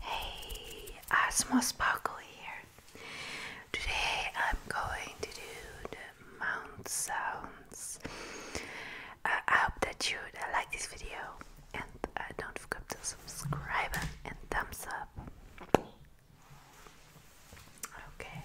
Hey, Asmo Sparkle here. Today I'm going to do the mount sounds. I hope that you uh, like this video and uh, don't forget to subscribe and thumbs up. Okay.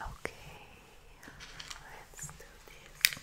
Okay, let's do this.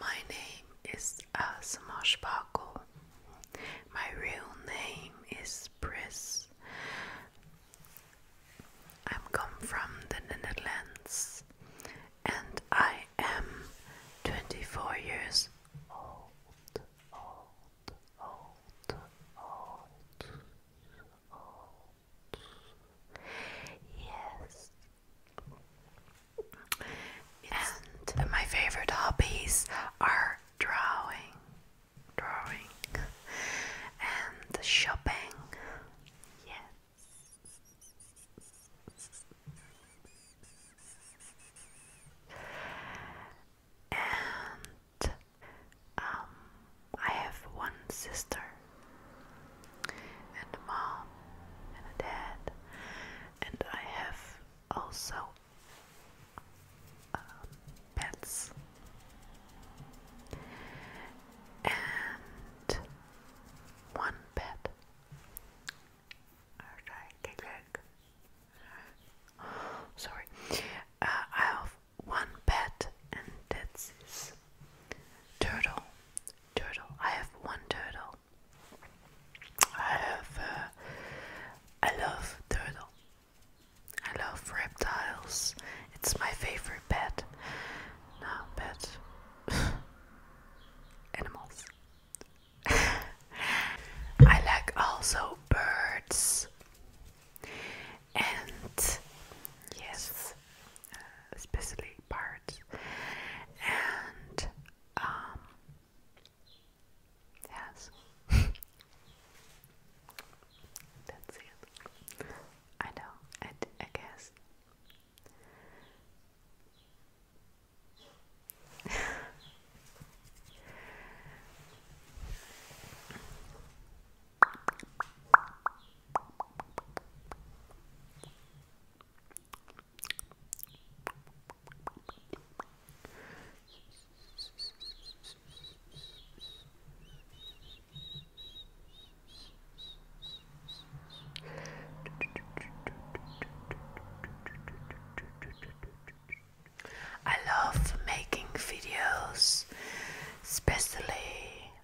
My name is Asma uh, Sparkle. My real name is Pris. I'm come from the Netherlands and I am 24 years old. Yes. and my favorite hobbies are drawing, drawing, and shopping. Yes. And um, I have one sister, and a mom, and a dad, and I have also um, pets. And one pet. Sorry. Uh, I have one pet, and that's turtle. Turtle. I have one turtle. I have. Uh, I love turtle. I love reptiles. It's my favorite pet. No pet. Animals. I like also birds and yes, especially parts, and um, yes, that's it. I know, I, I guess. I love making videos, especially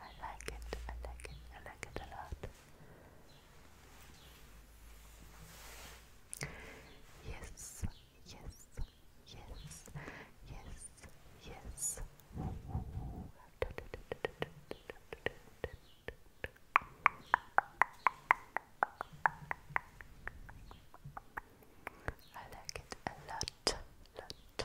I like it, I like it, I like it a lot. Yes, yes, yes, yes, yes. I like it a lot, lot,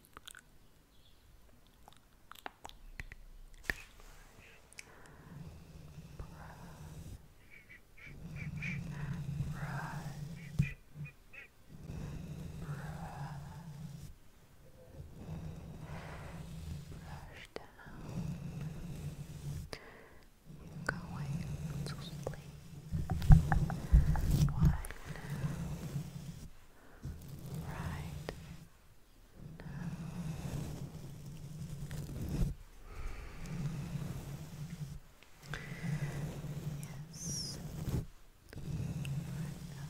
brush, brush, brush down. Going to sleep. Why now? right now. Yes. Right now.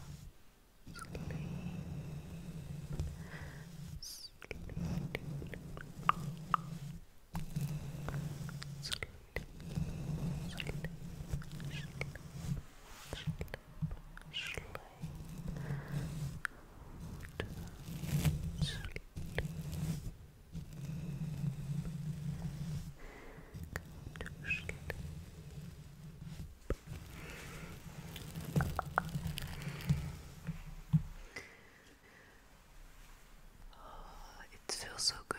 Sleep. Sleep. Oh, it feels so good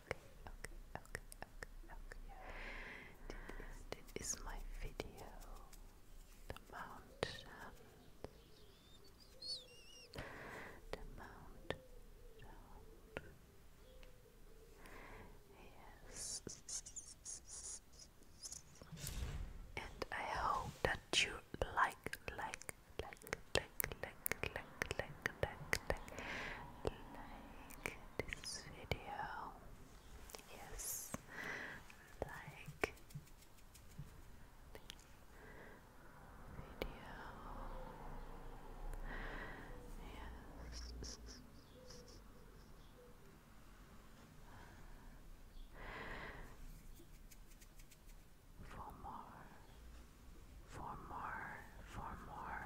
okay, okay, okay, okay, okay. This, is my video. The The mountains. Yes. And I hope that you like, like, like, like, like, like, like, like, like, like this video. Yes, like video. Yes. For more, for more, for more.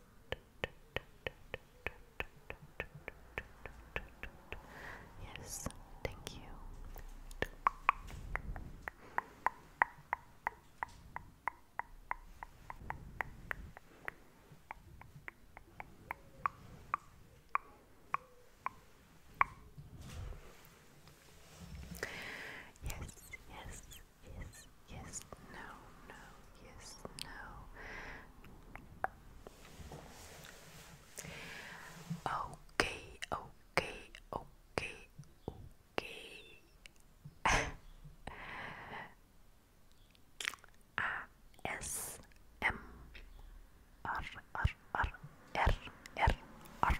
Yes, thank you. Yes, yes, yes, yes, no, no, yes, no. Okay, okay, okay, okay. A S M R R R R R R. okay.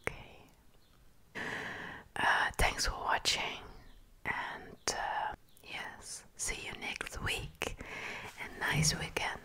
Okay. Uh, thanks for watching, and uh, yes, see you next week. And nice weekend.